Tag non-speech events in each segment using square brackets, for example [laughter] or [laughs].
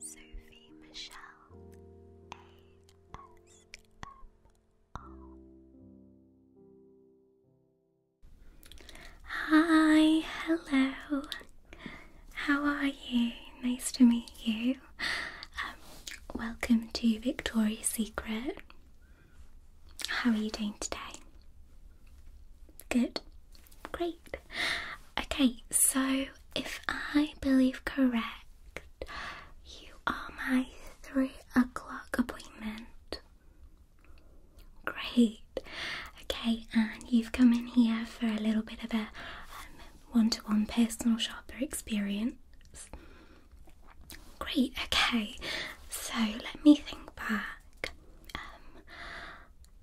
Sophie Michelle ASMR. Hi, hello. How are you? Nice to meet you. Um, welcome to Victoria's Secret. How are you doing today? Good. Great. Okay, so if I believe correct, you are my three o'clock appointment. Great. Okay, and you've come in here for a little bit of a one to one personal shopper experience. Great, okay. So let me think back. Um,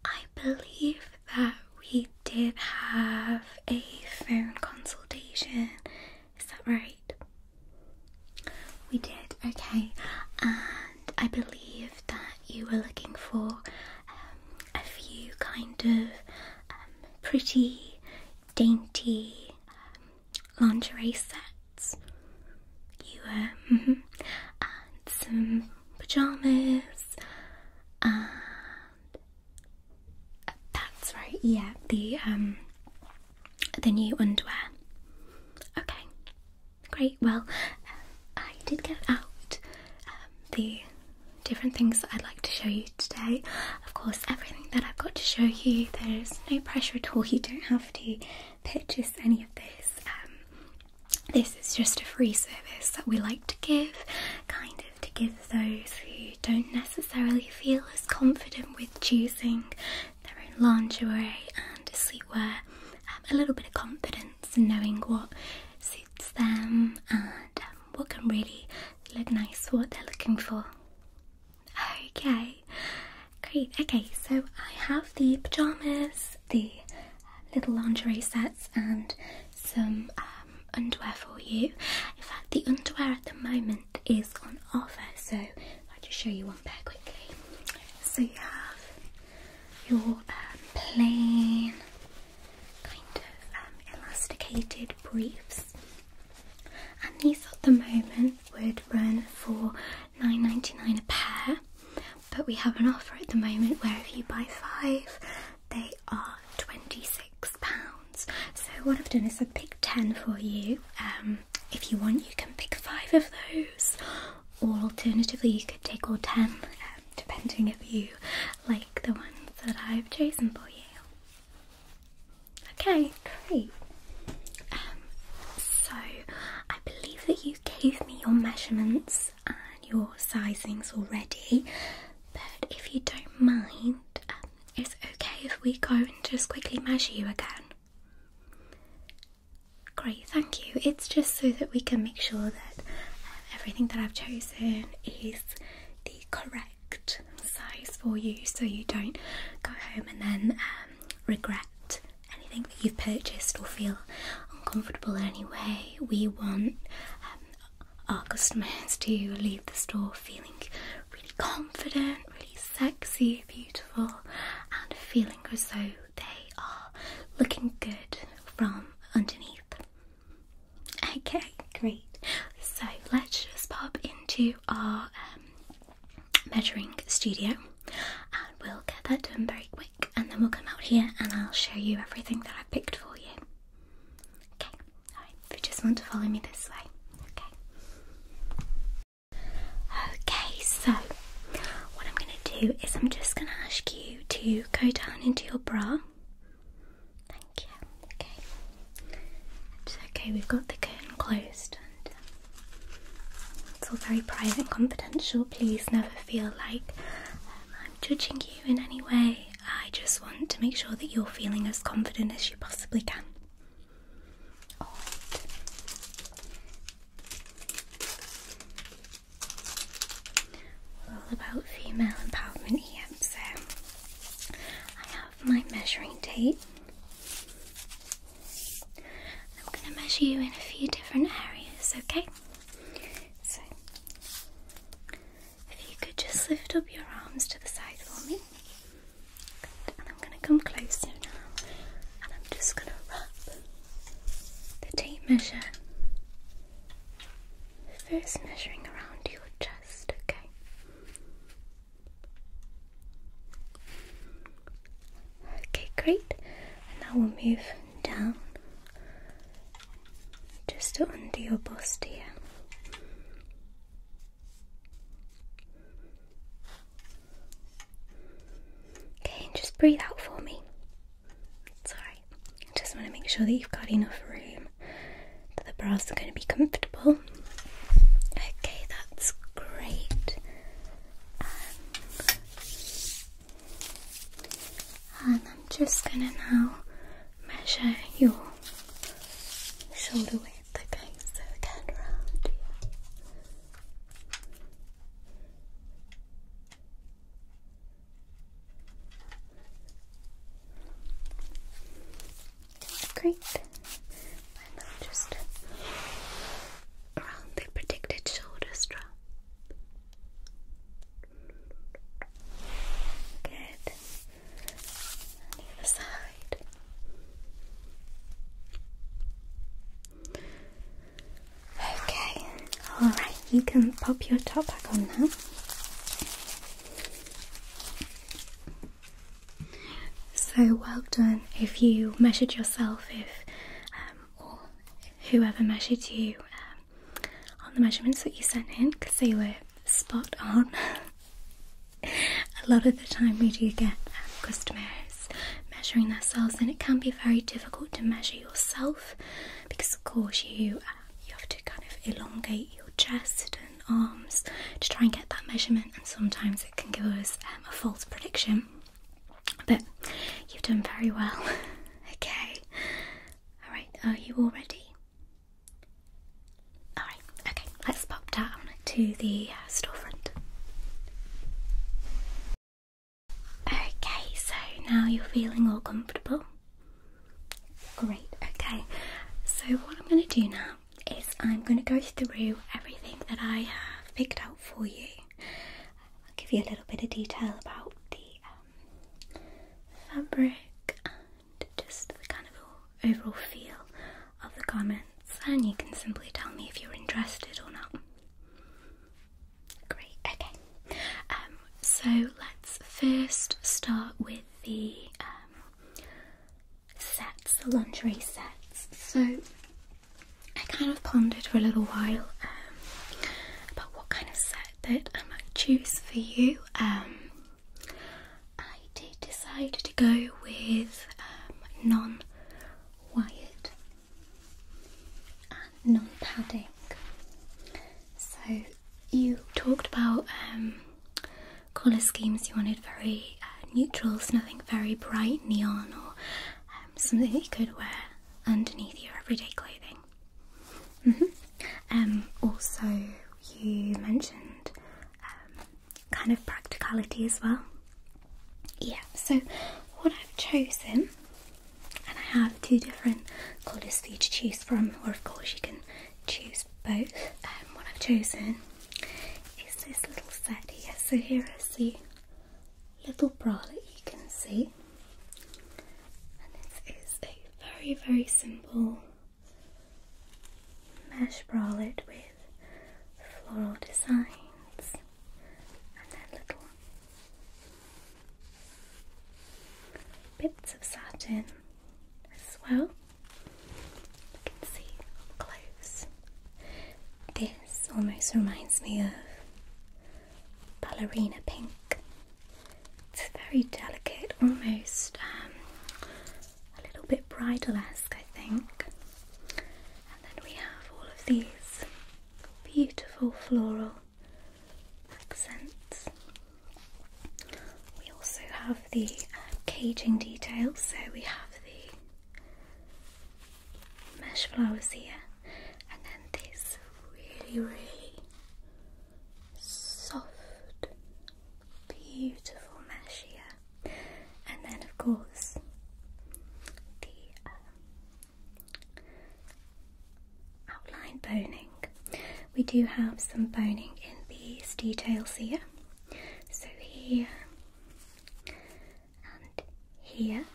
I believe that we did have a phone consultation. Is that right? We did, okay. And I believe that you were looking for um, a few kind of um, pretty, dainty um, lingerie sets. You were, [laughs] and some pajamas, that's right. Yeah, the um, the new underwear. Okay, great. Well, I did get out um, the different things that I'd like to show you today. Of course, everything that I've got to show you, there's no pressure at all. You don't have to purchase any of this. Um, this is just a free service that we like to give, kind of to give those who don't necessarily feel as confident with choosing their own lingerie and sleepwear um, a little bit of confidence in knowing what suits them and um, what can really look nice for what they're looking for. Okay, great. Okay, so I have the pajamas, the little lingerie sets and some um, underwear for you. In fact, the underwear at the moment is on offer, so I'll just show you one pair quickly. So you have your um, plain kind of um, elasticated briefs, and these at the moment would run for nine ninety nine a pair. But we have an offer at the moment where if you buy five they are £26. So, what I've done is I've picked 10 for you. Um, if you want, you can pick five of those, or alternatively, you could take all 10, um, depending if you like the ones that I've chosen for you. Okay, great. Um, so, I believe that you gave me your measurements and your sizings already, but if you don't mind, um, it's okay if we go and just quickly measure you again. Great, thank you. It's just so that we can make sure that um, everything that I've chosen is the correct size for you so you don't go home and then um, regret anything that you've purchased or feel uncomfortable in any way we want um, our customers to leave the store feeling really confident, really sexy, beautiful, and feeling as though they are looking good from underneath. Okay, great. So let's just pop into our um, measuring studio and we'll get that done very quick and then we'll come out here and I'll show you everything that I picked for you. Okay, alright, if you just want to follow me this way, okay? Okay, so what I'm going to do is I'm just going to ask you to go down into your bra. Thank you. Okay. okay, we've got the curtain closed and um, it's all very private and confidential. Please never feel like I'm judging you in any way. I just want to make sure that you're feeling as confident as you possibly can. all about female empowerment here, so I have my measuring tape. I'm going to measure you in a few different areas, okay? So, if you could just lift up your arms to the side for me. And I'm going to come closer now. And I'm just going to wrap the tape measure. First, measuring around your chest, okay? Okay, great. And now we'll move down just under your bust here. Okay, and just breathe out for me. It's alright. I just want to make sure that you've got enough room, that the bras are going to be comfortable. Okay, that's great. Um, and I'm just gonna now measure your shoulder width, okay? again, round Great. And then just around the predicted shoulder strap. Good. the other side. Okay. All right. You can pop your top back on now. So well done. If you measured yourself, if um, or whoever measured you. Um, on the measurements that you sent in because they were spot on. [laughs] a lot of the time, we do get um, customers measuring themselves, and it can be very difficult to measure yourself because, of course, you uh, you have to kind of elongate your chest and arms to try and get that measurement, and sometimes it can give us um, a false prediction. But you've done very well. [laughs] okay. Alright, are you all ready? Alright, okay, let's pop down to the uh, storefront. Okay, so now you're feeling all comfortable. Great, okay. So, what I'm going to do now is I'm going to go through everything that I have picked out for you. I'll give you a little bit of detail about the uh, fabric and just the kind of overall feel of the garments, and you can simply tell me if you're interested or not. Great, okay. Um, so let's first start with the um, sets, the lingerie sets. So I kind of pondered for a little while um, about what kind of set that I might choose for you. Um, I did decide to go with um, non wired and non padding. So, you talked about um, colour schemes you wanted very uh, neutrals, nothing very bright neon or um, something you could wear underneath your everyday clothing. Mm-hmm. Um, also, you mentioned um, kind of practicality as well. Yeah, so what I've chosen, and I have two different colours for you to choose from, or of course, you can choose both. Um, what I've chosen is this little set here. So, here is the little bralette you can see. And this is a very, very simple mesh bralette with floral designs and little bits of satin as well. You can see close. This almost reminds me of ballerina pink. It's very delicate, almost um, a little bit bridal-esque, I think. And then we have all of these beautiful floral accents. We also have the uh, caging details, so we have the mesh flowers here and then this really, really soft, beautiful mesh here, and then, of course, the um, outline boning. We do have some boning in these details here, so here and here,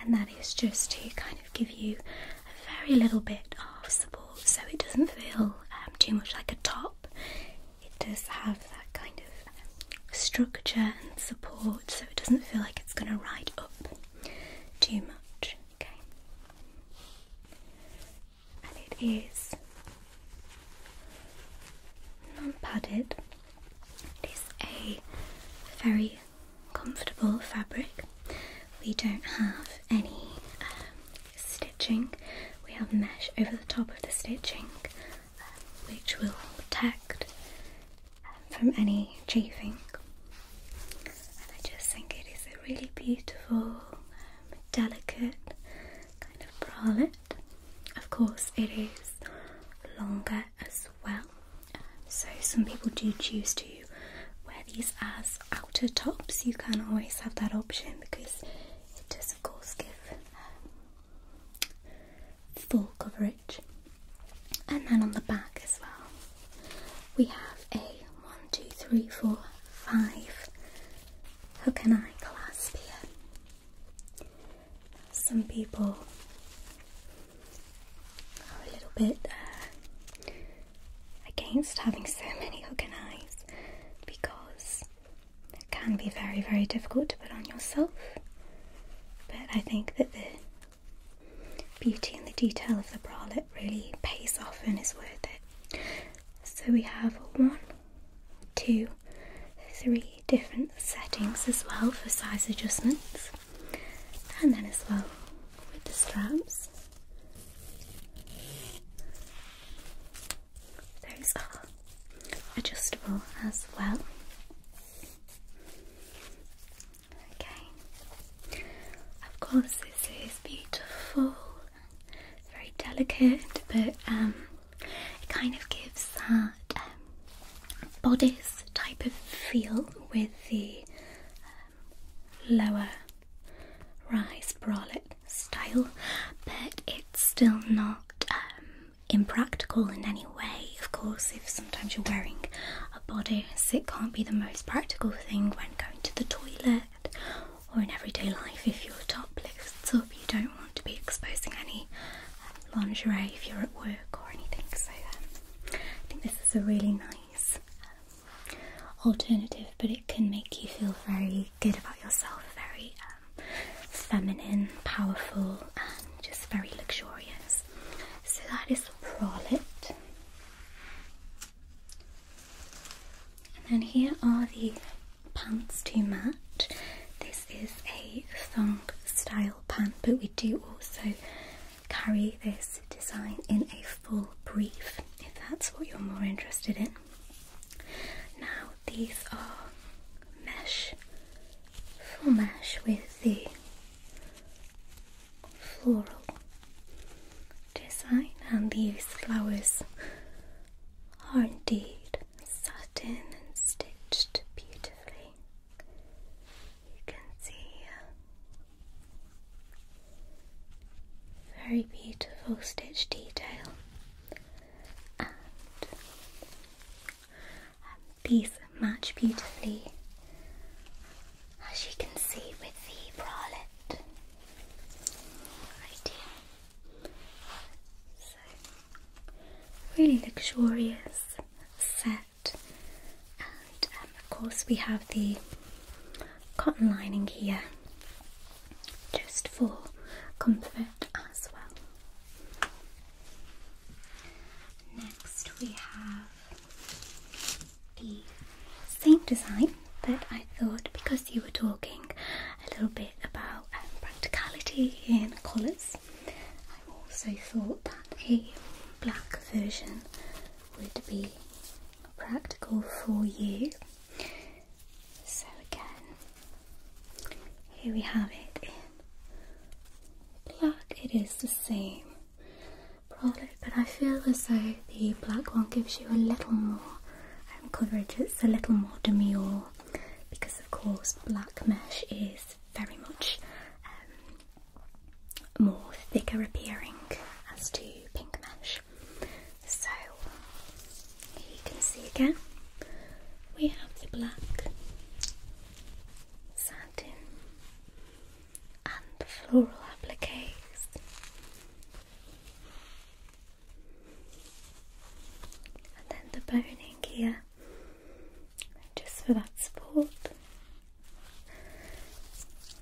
and that is just to kind of give you a very little bit of support so it doesn't feel um, too much like a top. It does have that kind of structure and support so it doesn't feel like it's going to ride up too much. Okay, and it is non padded. It is a very comfortable fabric. We don't have any um, stitching, we have mesh over the top of the stitching um, which will protect um, from any chafing. And I just think it is a really beautiful, delicate kind of bralette. Of course, it is longer as well, so some people do choose to wear these as outer tops. You can always have that option because it does of course give um, full coverage. And then on the back as well, we have a one, two, three, four, five hook and eye clasp here. Some people a little bit uh, against having so many organised because it can be very, very difficult to put on yourself. But I think that the beauty and the detail of the bralette really pays off and is worth it. So we have one, two, three different settings as well for size adjustments and then as well with the straps. Those are adjustable as well. Okay, of course, this is beautiful, very delicate, but um, it kind of gives that um, bodice type of feel with the um, lower rise bralette style, but it's still not um, impractical in any way. Of course, if sometimes you're wearing a bodice, it can't be the most practical thing when going to the toilet or in everyday life if your top lifts up. You don't want to be exposing any um, lingerie if you're at work or anything. So, I think this is a really nice um, alternative, but it can make you feel very good about yourself, very um, feminine, powerful, and just very luxurious. So that is Prolet. And then here are the pants too much. This is a thong style pant, but we do also carry this design in a full brief if that's what you're more interested in. Now, these are mesh, full mesh with the floral design, and these flowers are indeed satin and stitched beautifully. You can see uh, very beautiful stitch detail and these match beautifully as you can see with the bralette really luxurious set and um, of course, we have the cotton lining here just for comfort as well. Next, we have the same design, but I thought because you were talking a little bit about um, practicality in colours. I also thought that a black version would be practical for you. So again, here we have it in black. It is the same product, but I feel as though the black one gives you a little more um, coverage. It's a little more demure because, of course, black mesh is very much um, more thicker appearing as to pink mesh. So here you can see again we have the black satin and floral appliques. And then the boning here just for that support.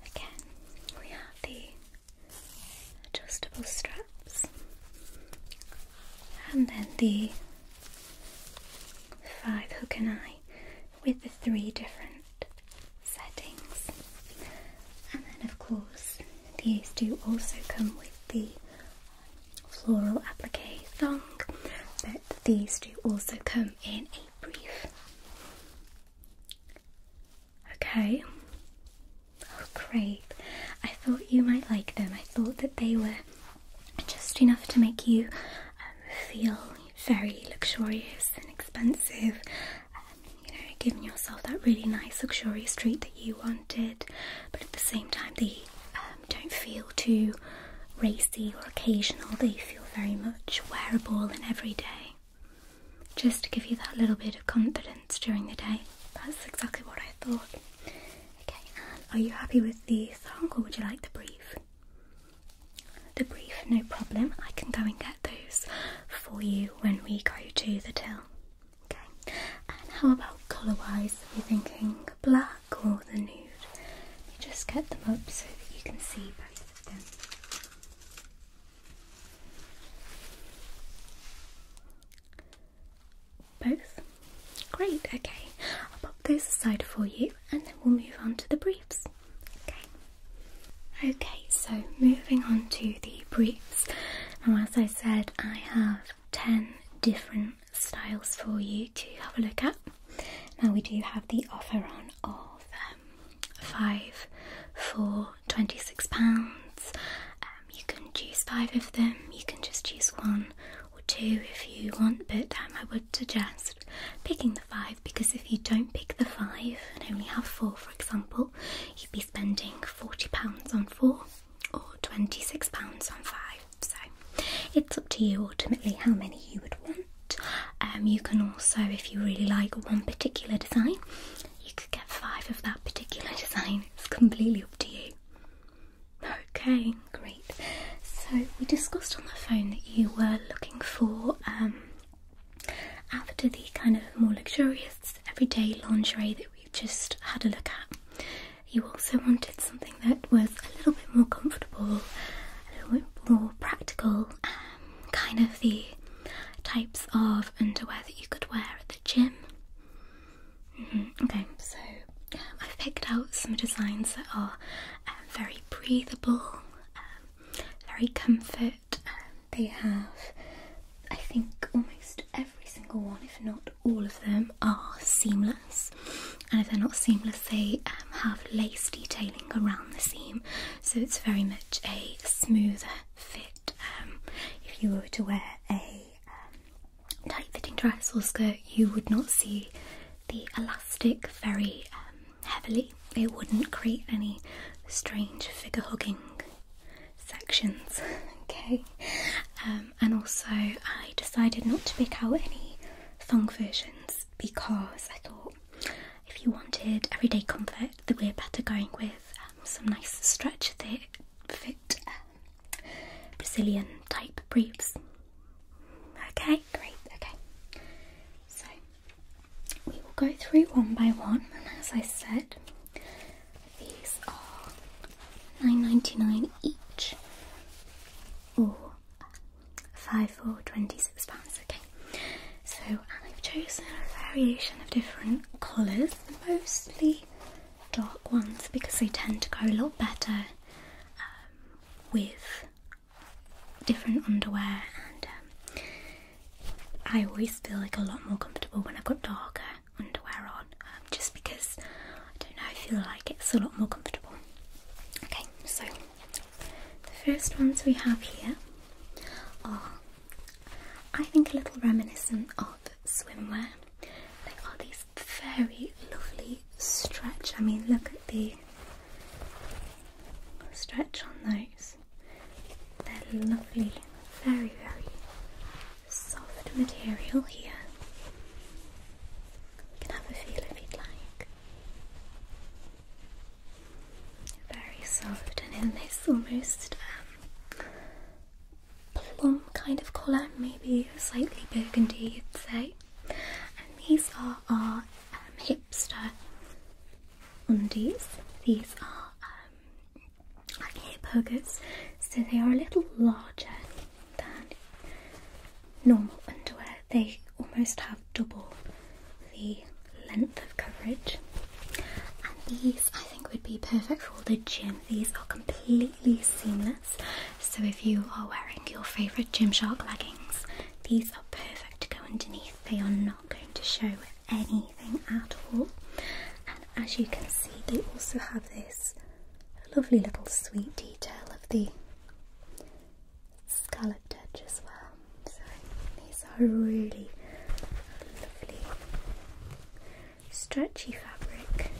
Again, we have the adjustable straps and then the five hook and eye with the three different settings. And then, of course, these do also come with the floral applique thong, but these do also come in a brief. Okay. Oh, great. I thought you might like them. I thought that they were just enough to make you um, feel very luxurious and expensive. Um, you know, giving yourself that really nice, luxurious treat that you wanted, but at the same time, the uh, um, don't feel too racy or occasional, they feel very much wearable and everyday. Just to give you that little bit of confidence during the day. That's exactly what I thought. Okay, and are you happy with the song or would you like the brief? The brief, no problem. I can go and get those for you when we go to the till. Okay, and how about colour wise? Are you thinking black? black or the nude. Let just get them up so that you can see both of them. Both? Great, okay. I'll pop those aside for you and then we'll move on to the briefs. Okay. Okay, so moving on to the briefs. Now, as I said, I have 10 different styles for you to have a look at. Now we do have the offer on of um, five for £26. Um, you can choose five of them, you can just choose one or two if you want, but um, I would suggest picking the five because if you don't pick the five and only have four, for example, you'd be spending £40 on four or £26 on five. So it's up to you ultimately how many you would want. Um, you can also, if you really like one particular design, you could get five of that particular [laughs] design. It's completely up to you. Okay, great. So we discussed on the phone that you were looking for um, after the kind of more luxurious everyday lingerie that we just had a look at. You also wanted something that was a little bit more comfortable, a little bit more practical, um, kind of the types of underwear that you could wear at the gym. Mm-hmm. Okay, so um, I've picked out some designs that are um, very breathable, very comfort. they have, I think, almost every single one, if not all of them, are seamless and if they're not seamless they um, have lace detailing around the seam so it's very much a smoother fit um, if you were to wear a um, tight fitting dress or skirt you would not see the elastic very heavily it wouldn't create any strange figure hugging sections [laughs] okay and also I decided not to pick out any thong versions because I thought if you wanted everyday comfort, that we're better going with um, some nice stretch fit um, Brazilian type briefs. Okay, great. Okay, so we will go through one by one, and as I said, these are nine ninety nine each, or five for £26. Okay, so I've chosen a variation of different colours, mostly dark ones because they tend to go a lot better um, with different underwear, and um, I always feel like a lot more comfortable when I've got darker underwear on um, just because I don't know, I feel like it's a lot more comfortable. Okay, so the first ones we have here are, I think, a little reminiscent of swimwear. They are these very lovely stretch. I mean, look at the stretch on those. They're lovely, very, very soft material here. You can have a feel if you'd like. Very soft and in this almost um, plum kind of colour, maybe slightly burgundy, you'd say. And these are our um, hipster undies. These are um, like hip huggers, so they are a little larger than normal underwear. They almost have double the length of coverage. And these I think would be perfect for the gym. These are completely seamless. So if you are wearing your favourite gym shark leggings, these are perfect to go underneath. They are not going to show anything at all. And as you can see, they also have this lovely little sweet detail of the Scarlet touch as well. So these are really lovely stretchy fabric.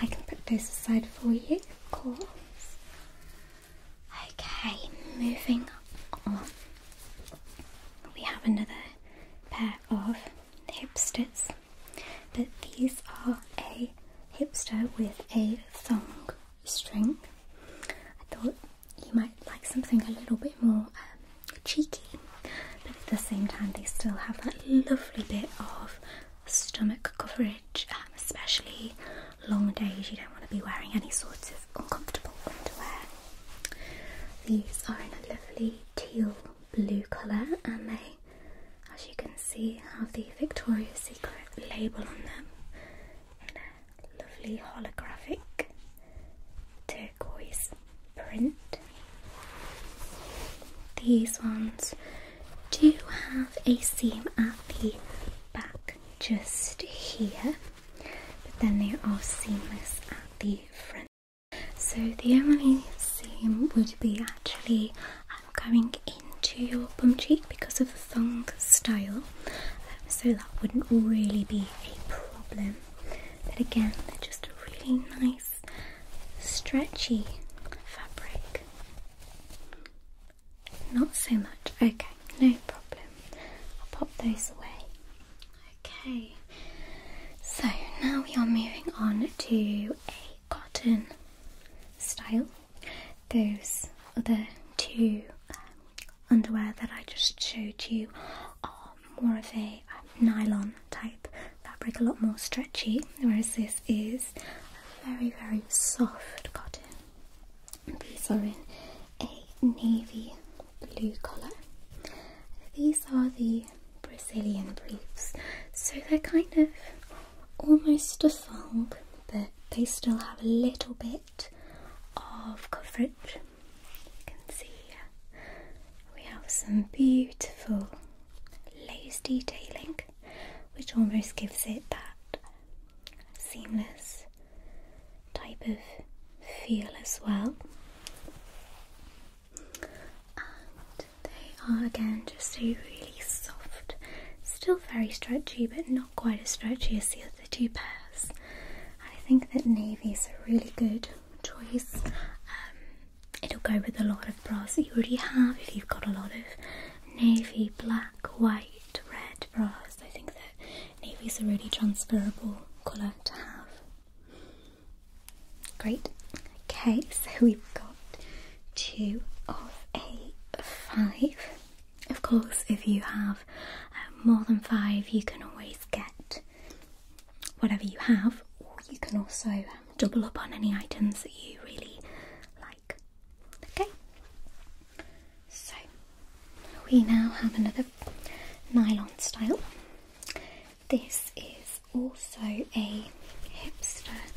I can put those aside for you, of course. Okay, moving on. We have another pair of hipsters, but these are a hipster with a thong string. I thought you might like something a little bit more um, cheeky, but at the same time, they still have that lovely bit of stomach coverage, um, especially long days. You don't want to be wearing any sort of uncomfortable underwear. These are in a lovely teal blue colour and they, as you can see, have the Victoria's Secret label on them in a lovely holographic turquoise print. These ones do have a seam at the back just here, but then they are seamless at the front. So the Emily seam would be actually um, going into your bum cheek because of the thong style, um, so that wouldn't really be a problem. But again, they're just a really nice, stretchy fabric. Not so much. Okay, no problem. I'll pop those away. Okay, so now we are moving on to a cotton style. Those other two um, underwear that I just showed you are more of a um, nylon type fabric, a lot more stretchy, whereas this is very, very soft cotton. These are in a navy blue colour. These are the Brazilian briefs, so they're kind of almost a thong, but they still have a little bit of coverage. You can see uh, we have some beautiful lace detailing, which almost gives it that seamless type of feel as well they are again just a really soft, still very stretchy, but not quite as stretchy as the other two pairs. I think that navy is a really good choice. Um, it'll go with a lot of bras that you already have if you've got a lot of navy, black, white, red bras. I think that navy is a really transferable colour to have. Great. Okay, so we've got two of a five. Of course, if you have uh, more than five, you can always get whatever you have, or you can also um, double up on any items that you really like. Okay, so we now have another nylon style. This is also a hipster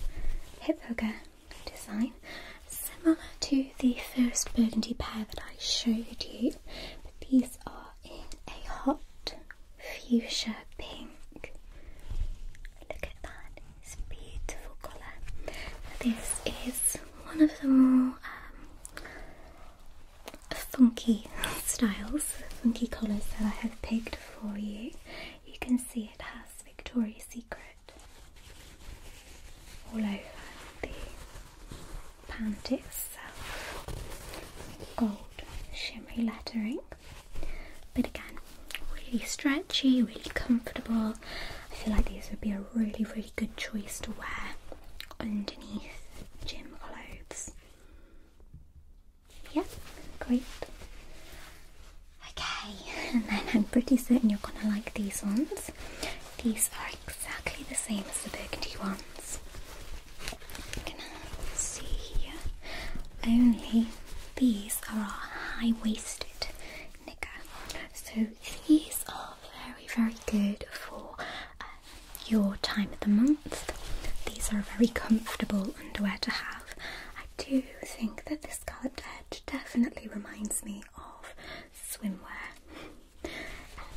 hip hugger design, similar to the first burgundy pair that I showed you, but these are in a hot fuchsia pink. Look at that, beautiful colour. This is one of the more um, funky styles, funky colours that I have picked for you. You can see it has Victoria's Secret all over the pant itself. Gold shimmery lettering. But again, really stretchy, really comfortable. I feel like these would be a really, really good choice to wear underneath gym clothes. Yeah, great. Okay, [laughs] and then I'm pretty certain you're gonna like these ones. These are exactly the same as the burgundy ones. You can see here. Only these are high-waisted knicker. So these are very, very good for uh, your time of the month. These are very comfortable underwear to have. I do think that this scalloped edge definitely reminds me of swimwear. Um,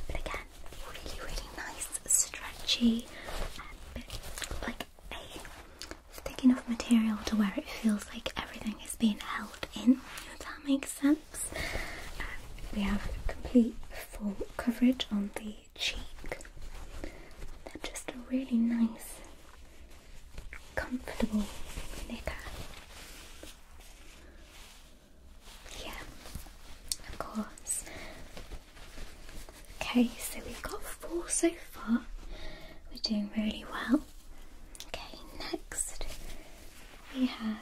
but again, really, really nice, stretchy, and but like a thick enough material to wear. it feels like everything is being held in, if that makes sense. Um, we have complete full coverage on the cheek. They're just really nice, comfortable Yeah, of course. Okay, so we've got four so far. We're doing really well. Okay, next we have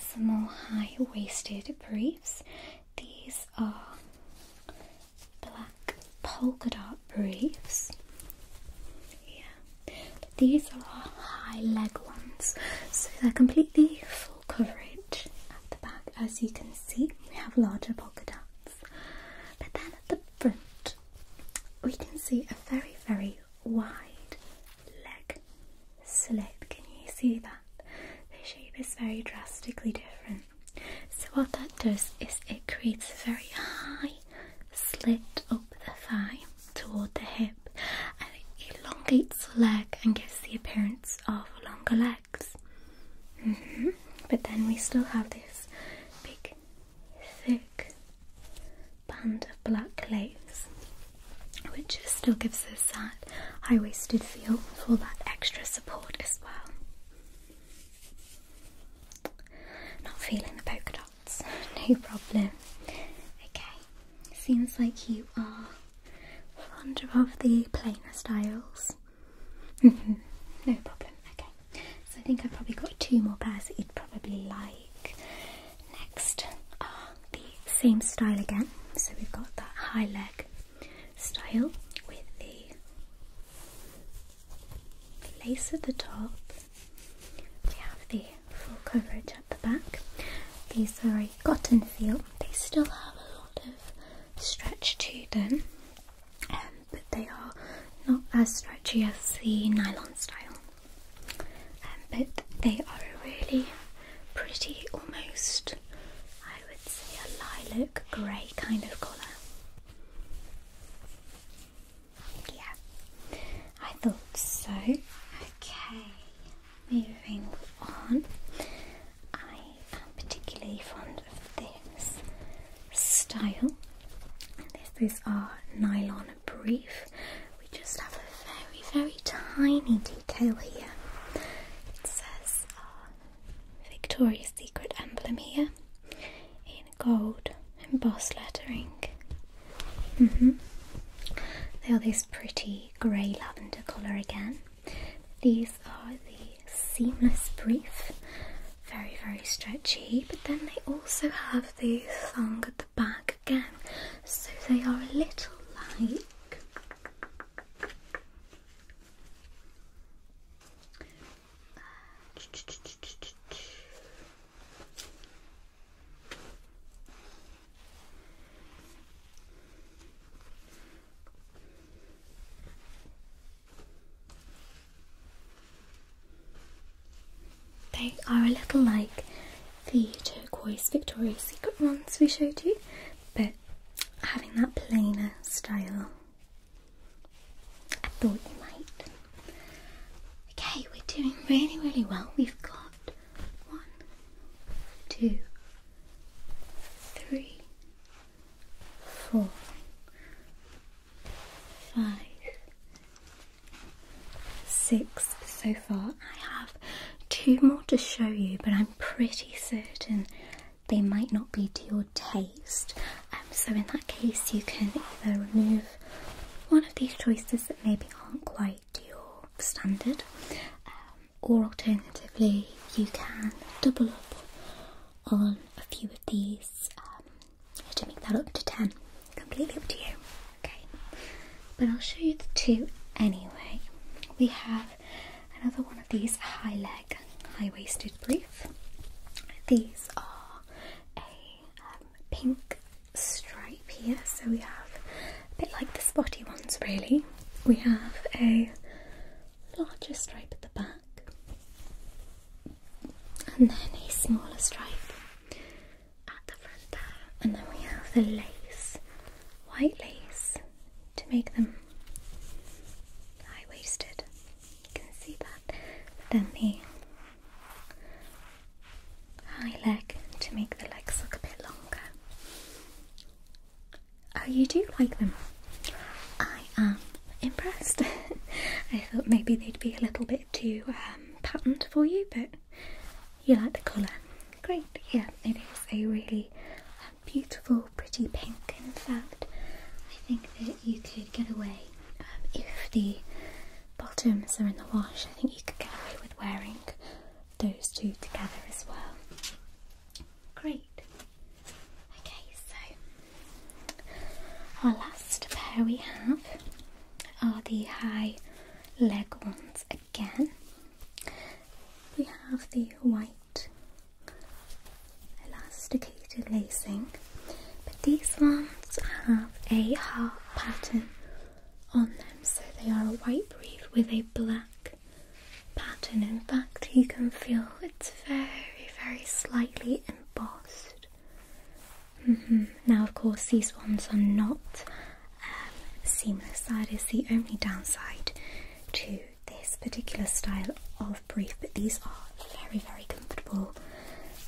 some more high waisted briefs. These are black polka briefs. Yeah, these are our high leg ones, so they're completely full coverage at the back. As you can see, we have larger polka dots, but then at the front, we can see a very, very wide leg slit. Can you see that? The shape is very drastically different. So what that does is it creates a very high slit up the thigh toward the hip and it elongates the leg and gives the appearance of longer legs. Mm-hmm. But then we still have this big thick band of black lace which just still gives us that high-waisted feel for that extra not feeling the polka dots, [laughs] no problem. Okay, seems like you are fond of the plainer styles. [laughs] no problem, okay. So I think I've probably got two more pairs that you'd probably like. Next are the same style again, so we've got that high leg style with the lace at the top. We have the full coverage at the back. These are a cotton feel. They still have a lot of stretch to them, um, but they are not as stretchy as the nylon style. Um, but they are really pretty, almost, I would say a lilac grey kind of colour. Yeah, I thought so. Okay, moving on. I am particularly fond of this style. This, these are nylon brief. We just have a very, very tiny detail here. It says uh, Victoria's Secret emblem here in gold embossed lettering. Mm-hmm. They are this pretty grey lavender colour again. These are the seamless brief, very very stretchy, but then they also have the thong at the back again, so they are a little like they are a little like the turquoise Victoria's Secret ones we showed you, but having that plainer style. I thought you might. Okay, we're doing really, really well. We've got one, two, three, four, five, six so far. I have two more to show you, but I'm pretty certain they might not be to your taste. Um, so in that case, you can either remove one of these choices that maybe aren't quite to your standard, um, or alternatively, you can double up on a few of these um, to make that up to 10. Completely up to you. Okay, but I'll show you the two anyway. We have another one of these high leg, high waisted brief. These are a um, pink stripe here, so we have a bit like the spotty ones, really. We have a larger stripe at the back, and then a smaller stripe at the front there, and then we have the lace, white lace to make them high-waisted. You can see that. then the high leg to make the legs look a bit longer. Oh, you do like them. I am impressed. [laughs] I thought maybe they'd be a little bit too um, patterned for you, but you like the colour. Great, yeah, it is a really um, beautiful, pretty pink. In fact, I think that you could get away um, if the bottoms are in the wash. I think you could get away with wearing those two together as well. Great. Okay, so our last pair we have are the high leg ones again. We have the white elasticated lacing, but these ones have a half pattern on them, so they are a white brief with a black pattern. In fact, you can feel it's very, very slightly embossed. Mm-hmm. Now, of course, these ones are not um, seamless, that is the only downside to this particular style of brief, but these are very, very comfortable,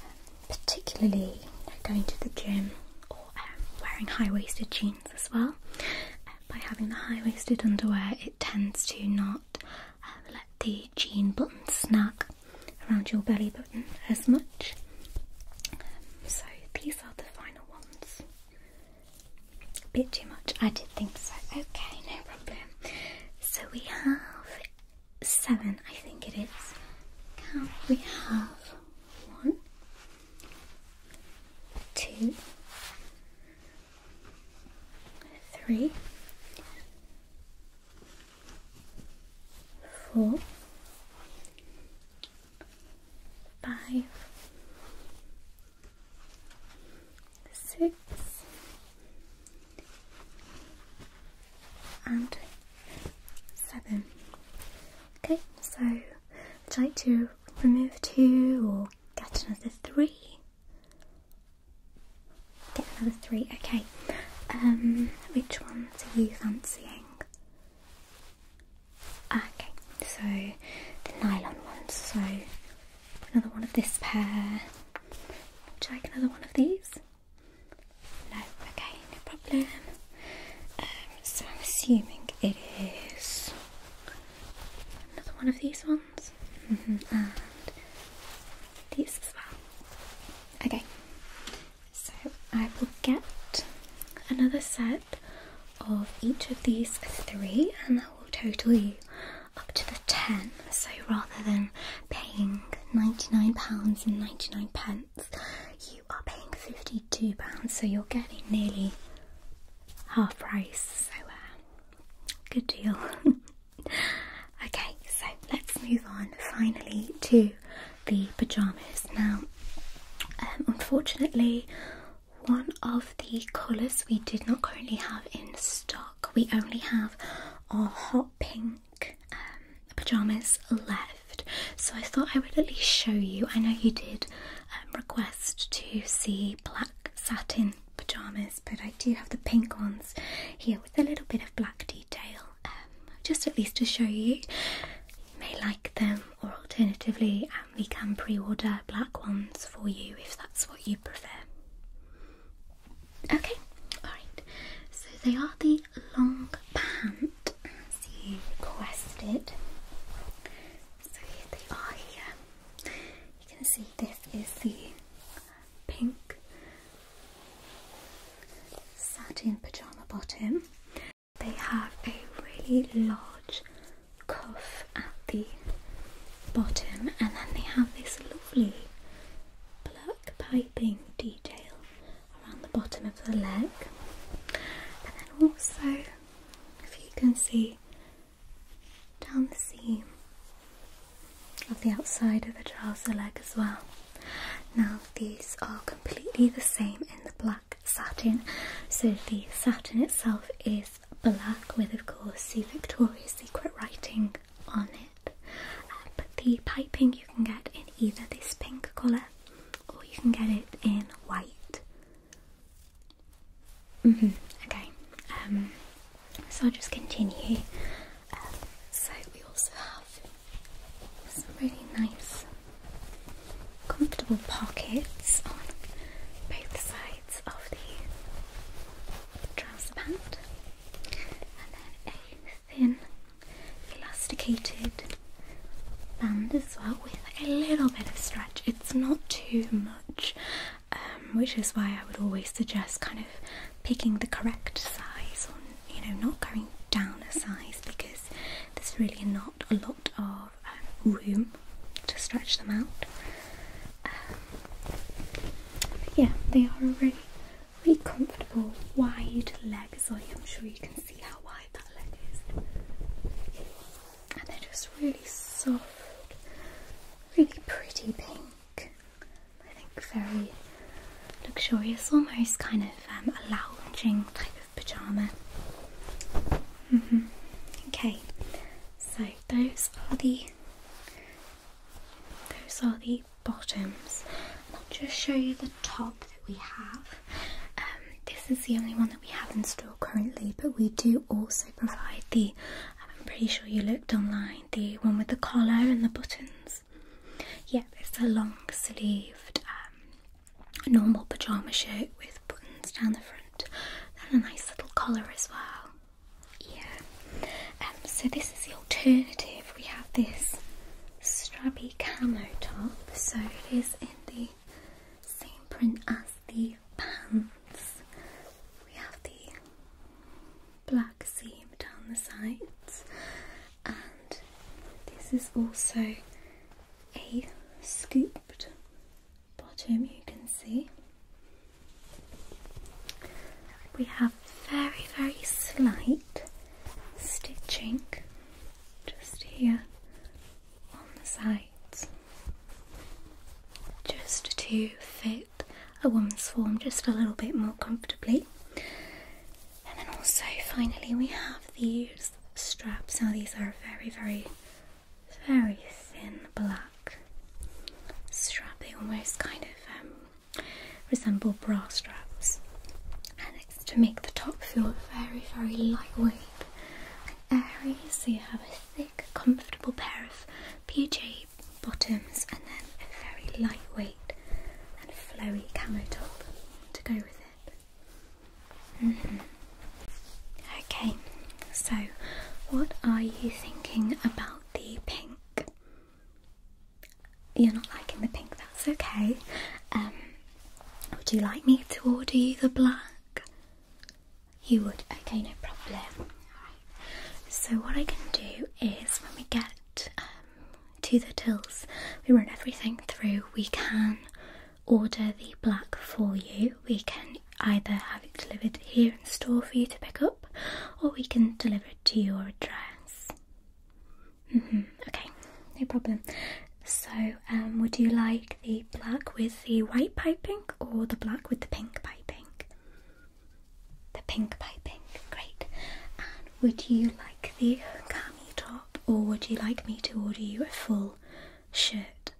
um, particularly going to the gym or um, wearing high waisted jeans as well. Um, by having the high waisted underwear, it tends to not let the jean button snag around your belly button as much. so, these are the final ones bit too much. I did think so. Okay, no problem. So we have seven, I think it is. Count. We have one, two, three, four, five, six and seven. Okay, so would you like to remove two or get another three? Get another three, okay. Um which ones are you fancying? Okay, so the nylon ones, so Another one of this pair. Would you like another one of these? No, okay, no problem. Um, so I'm assuming it is another one of these ones. Mm-hmm, and these as well. Okay, so I will get another set of each of these three, and that will total you up to the 10. So rather than paying £99.99, and 99 pence, you are paying £52, so you're getting nearly half price. So, uh, good deal. [laughs] okay, so let's move on finally to the pyjamas. Now, um, unfortunately, one of the colours we did not currently have in stock. We only have our hot pink um, pyjamas left, so I thought I would at least show you. I know you did um, request to see black satin pyjamas, but I do have the pink ones here with a little bit of black detail, um, just at least to show you. You may like them, or alternatively, um, we can pre order black ones for you if that's what you prefer. Okay, alright, so they are the long pant as you requested. So here they are here. You can see this is the pink satin pyjama bottom. They have a really large cuff at the bottom, and then they have this lovely black piping detail around the bottom of the leg. And then also, if you can see down the seam of the outside of the trouser leg as well. Now, these are completely the same in the black satin, so the satin itself is black with, of course, the Victoria's Secret writing on it. but the piping you can get in either this pink colour or you can get it in white. Mm-hmm. Okay, um, so I'll just continue. Um, so we also have some really nice, comfortable pockets on both sides of the trouser pant, and then a thin elasticated band as well with a little bit of stretch. It's not too much, um, which is why I would always suggest kind of picking the correct size, or you know, not going down a size because there's really not a lot of um, room to stretch them out. Um, yeah, they are really, really comfortable, wide legs. I'm sure you can see how wide that leg is, and they're just really soft, really pretty pink. I think very luxurious, almost kind of um, a lounging type of pajama. Mm-hmm. Okay, so those are the those are the bottoms. I'll just show you the top that we have. Um, this is the only one that we have in store currently, but we do also provide the. Um, I'm pretty sure you looked online. The one with the collar and the buttons. yeah, it's a long sleeved um, normal pajama shirt with buttons down the front and a nice little collar as well. Yeah. Um, so this is the alternative. We have this strappy camo top. So it is in the same print as the pants. We have the black seam down the sides. And this is also a scooped bottom you can see we have very very slight stitching just here on the sides just to fit a woman's form just a little bit more comfortably and then also finally we have these straps now these are very very very thin black strap. They almost kind of um, resemble bra straps, and it's to make the top feel very, very lightweight and airy. So you have a thick, comfortable pair of PJ bottoms, and then a very lightweight and flowy camo top to go with it. Mm-hmm. Okay, so what are you thinking about the pink? You're not liking the pink, that's okay. Um, would you like me to order you the black? You would, okay, no problem. So, what I can do is when we get um, to the tills, we run everything through, we can order the black for you, we can either have it delivered here in store for you to pick up or we can deliver it to your address. Mm-hmm. Okay, no problem. So, um, would you like the black with the white piping or the black with the pink piping? The pink piping, great. And would you like the cami top or would you like me to order you a full shirt?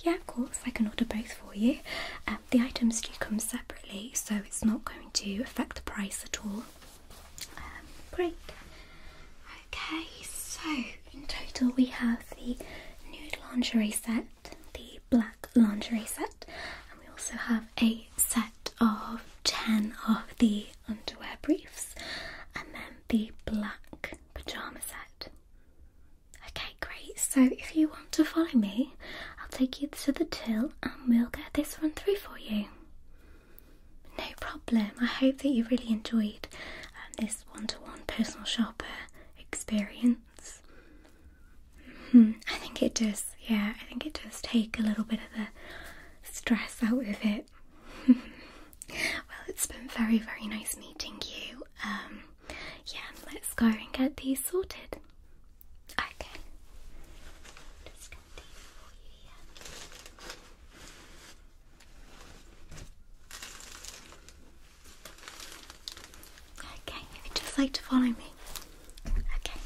Yeah, of course, I can order both for you. Um, the items do come separately, so it's not going to affect the price at all. Um, great. Okay, so in total, we have the nude lingerie set, the black lingerie set, and we also have a set of 10 of the underwear briefs, and then the black pyjama set. Okay, great. So if you want to follow me, I'll take you to the till and we'll get this run through for you. No problem. I hope that you really enjoyed um, this one-to-one personal shopper experience. Hmm, I think it does. Yeah, I think it does take a little bit of the stress out of it [laughs] well, it's been very, very nice meeting you. Um, yeah, let's go and get these sorted. Okay. Okay, you just like to follow me. Okay.